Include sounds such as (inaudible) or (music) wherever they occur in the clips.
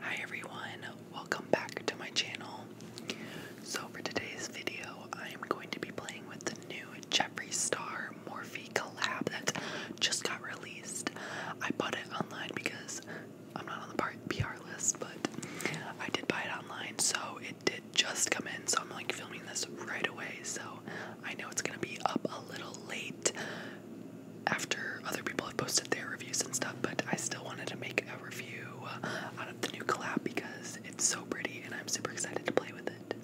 Hi everyone, welcome back to my channel. So for today's video, I am going to be playing with the new Jeffree Star Morphe collab that just got released. I bought it online because I'm not on the part PR list, but I did buy it online, so it did just come in, so I'm like filming this right away, so I know it's gonna be up a little late after other people have posted their reviews and stuff, but I still wanted to make a review uh, out of the new collab because it's so pretty and I'm super excited to play with it.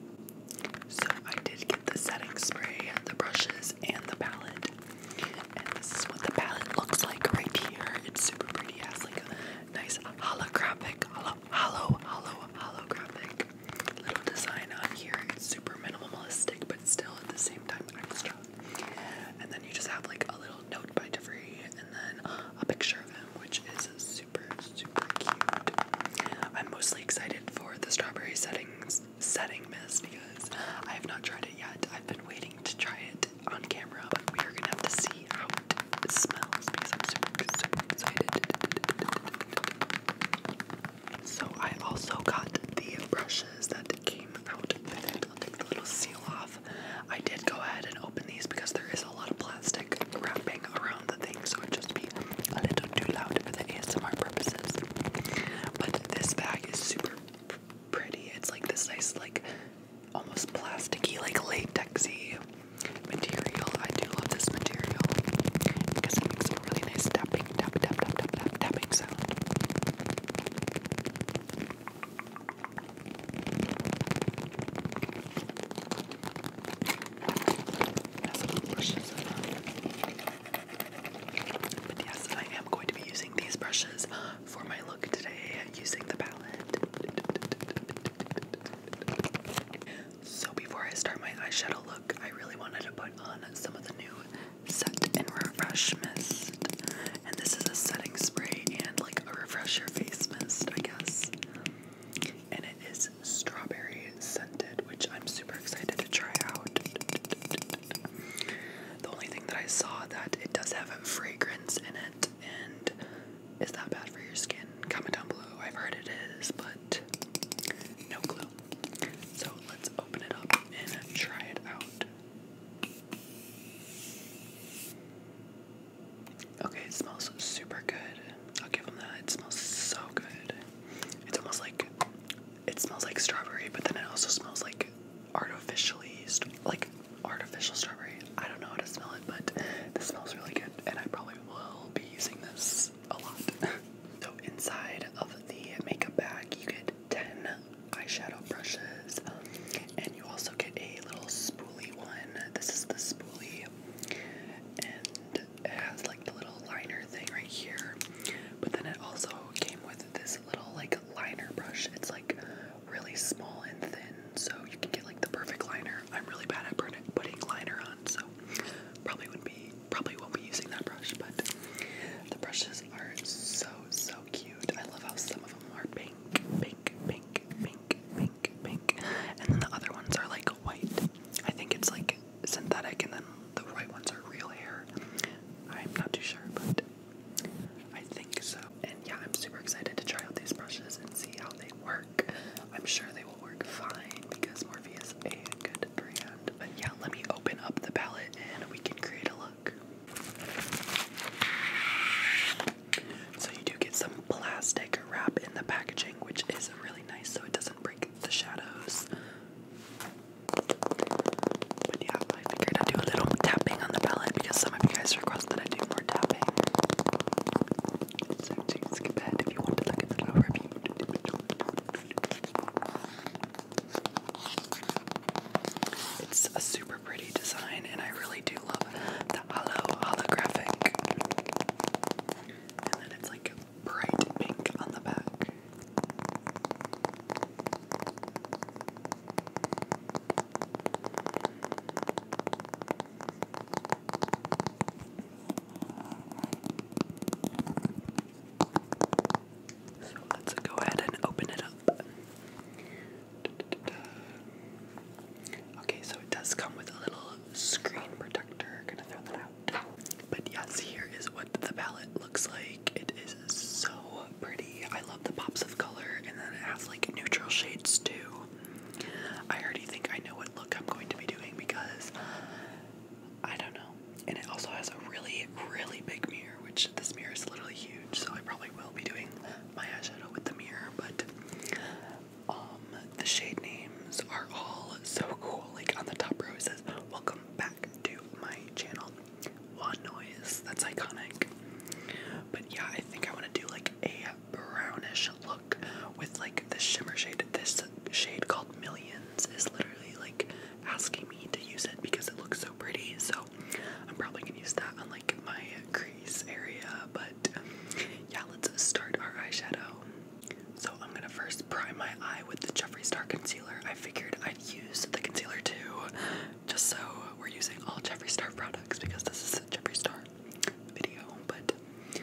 So I did get the setting spray, the brushes, and the palette. And this is what the palette looks like right here. It's super pretty. It has like a nice holographic, hollow, hollow, hollow, holographic little design on here. It's super minimalistic, but still at the same time and then you just have like a little note by DeVry and then a picture of him, which is super, super cute. I'm mostly excited for the strawberry settings setting mist because I have not tried it yet. I've been waiting to try it on camera, we are gonna have to see how it smells because I'm super, super excited. So I also got the brushes that came out with it to take the little seal off. I did go ahead and open these because there is a lot of plastic wrapping around the thing, so it'd just be a little too loud for the ASMR purposes. But this bag is super pretty. It's like this nice, like almost plasticky, like latexy material. I do love this material it makes a really nice tapping, tap, tap, tap, tap, tap, tapping sound. That's a brushes But yes, I am going to be using these brushes for my look today using the palette. So before I start my eyeshadow look, I really wanted to put on some of the new set and refresh mist. And this is a setting spray and like a refresh your face mist, I guess. And it is strawberry scented, which I'm super excited to try out. The only thing that I saw that it does have a fragrance in it, and is that bad for your skin? Comment down below. I've heard it is, but no clue. So let's open it up and try it out. Okay, it smells super good. I'll give them that. It smells so good. It's almost like it smells like strawberry, but then it also smells like artificially, like artificial strawberry. I don't know how to smell it, but this smells really good, and I probably will be using this a lot. (laughs) so inside of the makeup bag, you get 10 eyeshadow brushes, and you also get a little spoolie one. This is the spoolie, and it has like the little liner thing right here. But then it also came with this little like liner brush. It's like really small and thin, so you can get like the perfect liner. I'm really bad at putting liner on, so probably wouldn't be probably won't be using that brush. But the brushes are so so so cute. I love how some of them are pink, pink, pink, pink, pink, pink. And then the other ones are like white. I think it's like synthetic and then the white ones are real hair. I'm not too sure, but I think so. And yeah, I'm super excited to try out these brushes and see how they work. I'm sure they will work fine because Morphe is a good brand. But yeah, let me open up the palette and we can create a look. So you do get some plastic wrap in the packaging, which is really nice so it doesn't break the shadows. But yeah, I figured I'd do a little tapping on the palette because some of you guys requested more tapping. So do skip ahead if you want to look at the little it's a super pretty design, and I really do love the halo holographic. And then it's like bright pink on the back. So let's go ahead and open it up. Okay, so it does come with a little screen protector. Gonna throw that out. But yes, here is what the palette looks like. It is so pretty. I love the pops of color, and then it has like neutral shades too. I already think I know what look I'm going to be doing because I don't know. And it also has a really, really big mirror which this mirror is literally huge, so I probably will be doing my eyeshadow with the mirror, but um, the shade names are all so cool. Like on the top row it says, Welcome back to my channel. One noise, that's iconic. But yeah, I think I want to do like a brownish look with like this shimmer shade. This shade called Millions is literally like asking me to use it because it looks so pretty. So I'm probably gonna use that on like my crease area. But yeah, let's start our eyeshadow. So I'm gonna first prime my eye with the Jeffree Star concealer. I figured I'd use the concealer too, just so we're using all Jeffree Star products because this is a Jeffree Star video. But I'm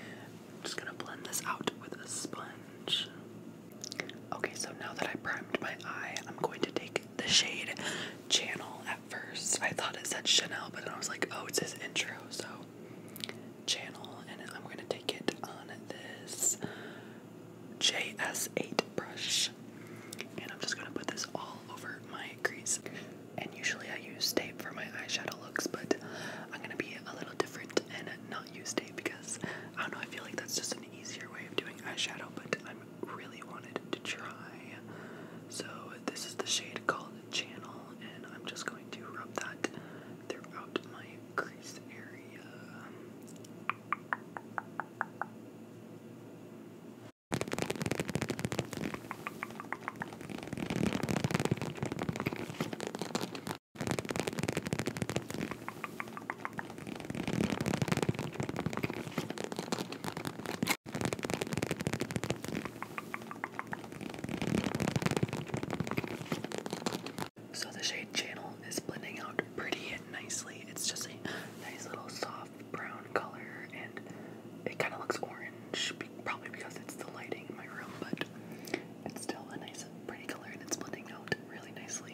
just gonna blend this out with a sponge. Okay, so now that I primed my eye, I'm going to take the shade channel at first. I thought it said Chanel, but then I was like, oh, it's his intro, so channel. And I'm going to take it on this JS8 brush. And I'm just going to put this all over my crease. And usually I use tape for my eyeshadow looks, but I'm going to be a little different and not use tape because I don't know, I feel like that's just an easier way of doing eyeshadow, but I'm time really wanted to try. So this is the shade called Channel, and I'm just going to rub that throughout my crease area. So the shade channel is blending out pretty nicely. It's just a nice little soft brown color and it kind of looks orange, probably because it's the lighting in my room, but it's still a nice pretty color and it's blending out really nicely.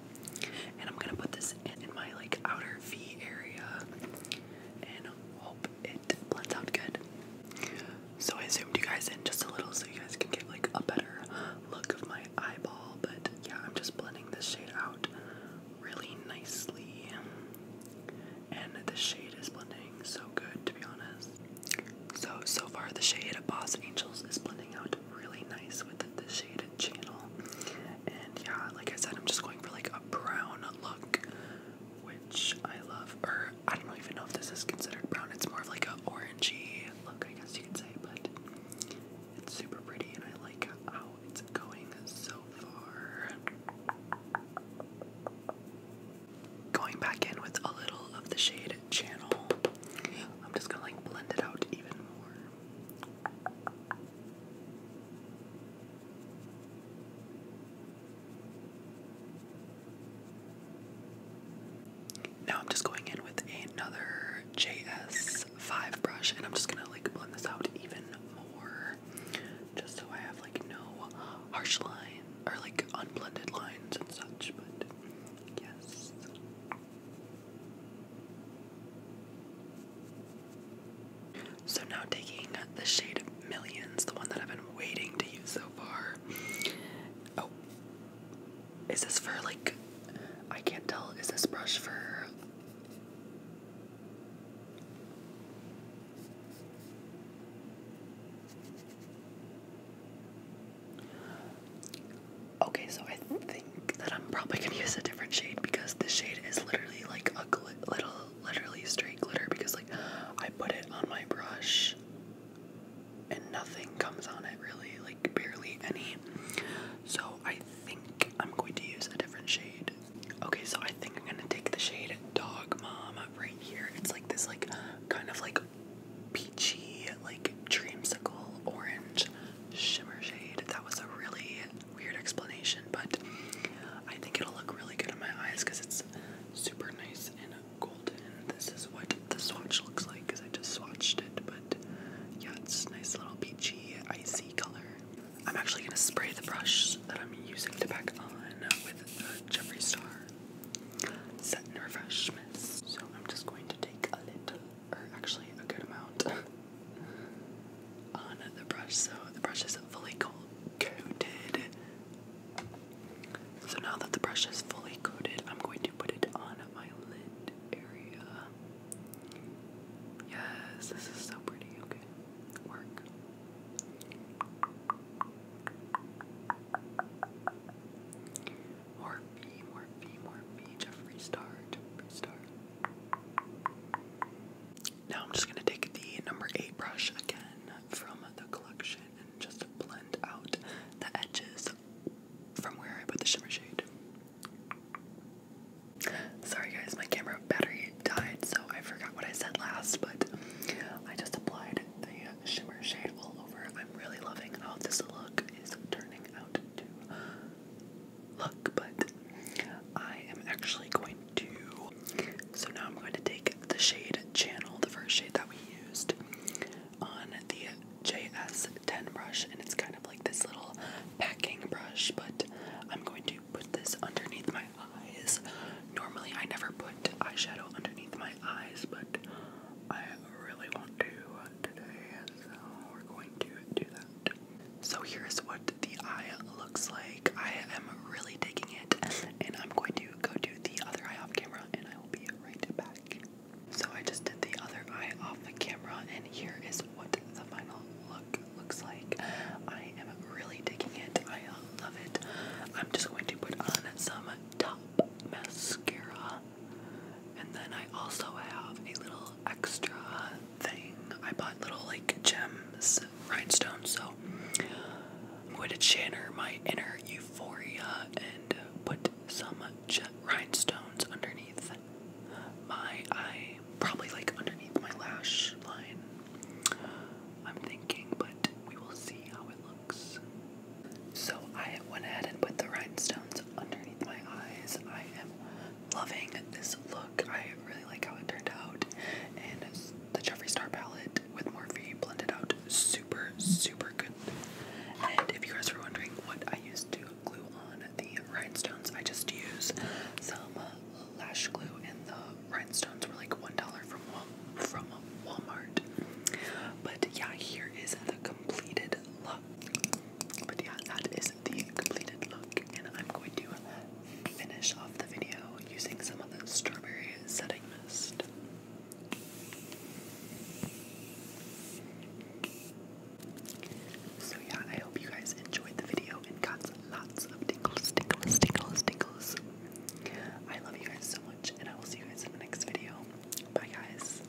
and I'm gonna put this in, my like outer V area and hope it blends out good. So I zoomed you guys in just a little so you guys can get like a better look of my eyeball, but yeah, I'm just blending this shade out really nicely. And the shade is blending so good to be honest. So so far the shade of Boss Angels is blending out really nice with the shaded channel. And yeah, like I said, I'm just going for like a brown look, which I love. Or I don't even know if this is considered brown. It's more of like an orangey look, I guess you could say. But it's super pretty, and I like how it's going so far. Going back in with a little of the shade channel. I'm just gonna like blend it out even more. Now I'm just going in with another JS5 brush and I'm just gonna like blend this out even more just so I have like no harsh line or like unblended lines and such, but yes. So now taking the shade Millions, the one that I've been waiting to use so far. Oh, is this for like, I can't tell, is this brush for. Okay, so I think that I'm probably gonna use a different shade because the shade is literally like a little, literally straight glitter because like I put it on my brush and nothing comes on it really, like barely any. So I think I'm going to use a different shade. Okay, so I think I'm gonna take the shade Dog Mom right here. It's like this like kind of like peachy, like dreamsicle orange shimmer shade. That was a really weird explanation, but I think it'll look really good in my eyes because it's super nice and golden. This is what the swatch looks like because I just swatched it, but yeah, it's nice little peachy, icy color. I'm actually going to spray the brush that I'm using to pack on with the Jeffree Star Set and Refresh Mist. So I'm just going to take a little or actually a good amount, (laughs) on the brush. So the brush is fully coated. So now that the brush is fully coated, I'm going to put it on my lid area. Yes, this is so pretty. Okay, work. Morphe, Morphe, Morphe, Jeffree Star, Jeffree Star. Now I'm just going to take the number 8 brush again from the collection and just blend out the edges from where I put the shimmer shade. Sorry guys, my camera battery died, so I forgot what I said last, but I just applied the shimmer shade all over. I'm really loving how this look is turning out look, but I am actually going to. So now I'm going to take the shade Channel, the first shade that we used, on the JS10 brush, and it's kind of like this little packing brush, but I'm going to put this underneath my eyes. Normally, I never put eyeshadow underneath my eyes, but I really want to today, so we're going to do that. So here's what the eye looks like. I am really digging it, and I'm going to go do the other eye off camera, and I will be right back. So I just did the other eye off the camera, and here is what the final look looks like. I am really digging it. I love it. I'm just going to put on some top mascara and then I also have a little extra thing. I bought little like gems, rhinestones, so I'm going to channel my inner euphoria and put some rhinestones underneath my eye, probably like underneath my lash line. I'm thinking, but we will see how it looks. So I went ahead and put the rhinestones underneath my eyes. I am loving this look. I really like how it turned out. And the Jeffree Star palette with Morphe blended out super, super good. And if you guys were wondering what I used to glue on the rhinestones, I just use some uh, lash glue and the rhinestones were like $1 from, from Walmart. But yeah, here is the completed look. But yeah, that is the completed look, and I'm going to finish off the video using some of the strawberry setting mist. So yeah, I hope you guys enjoyed the video and got lots of tingles, tingles, tingles, tingles. I love you guys so much, and I will see you guys in the next video. Bye, guys.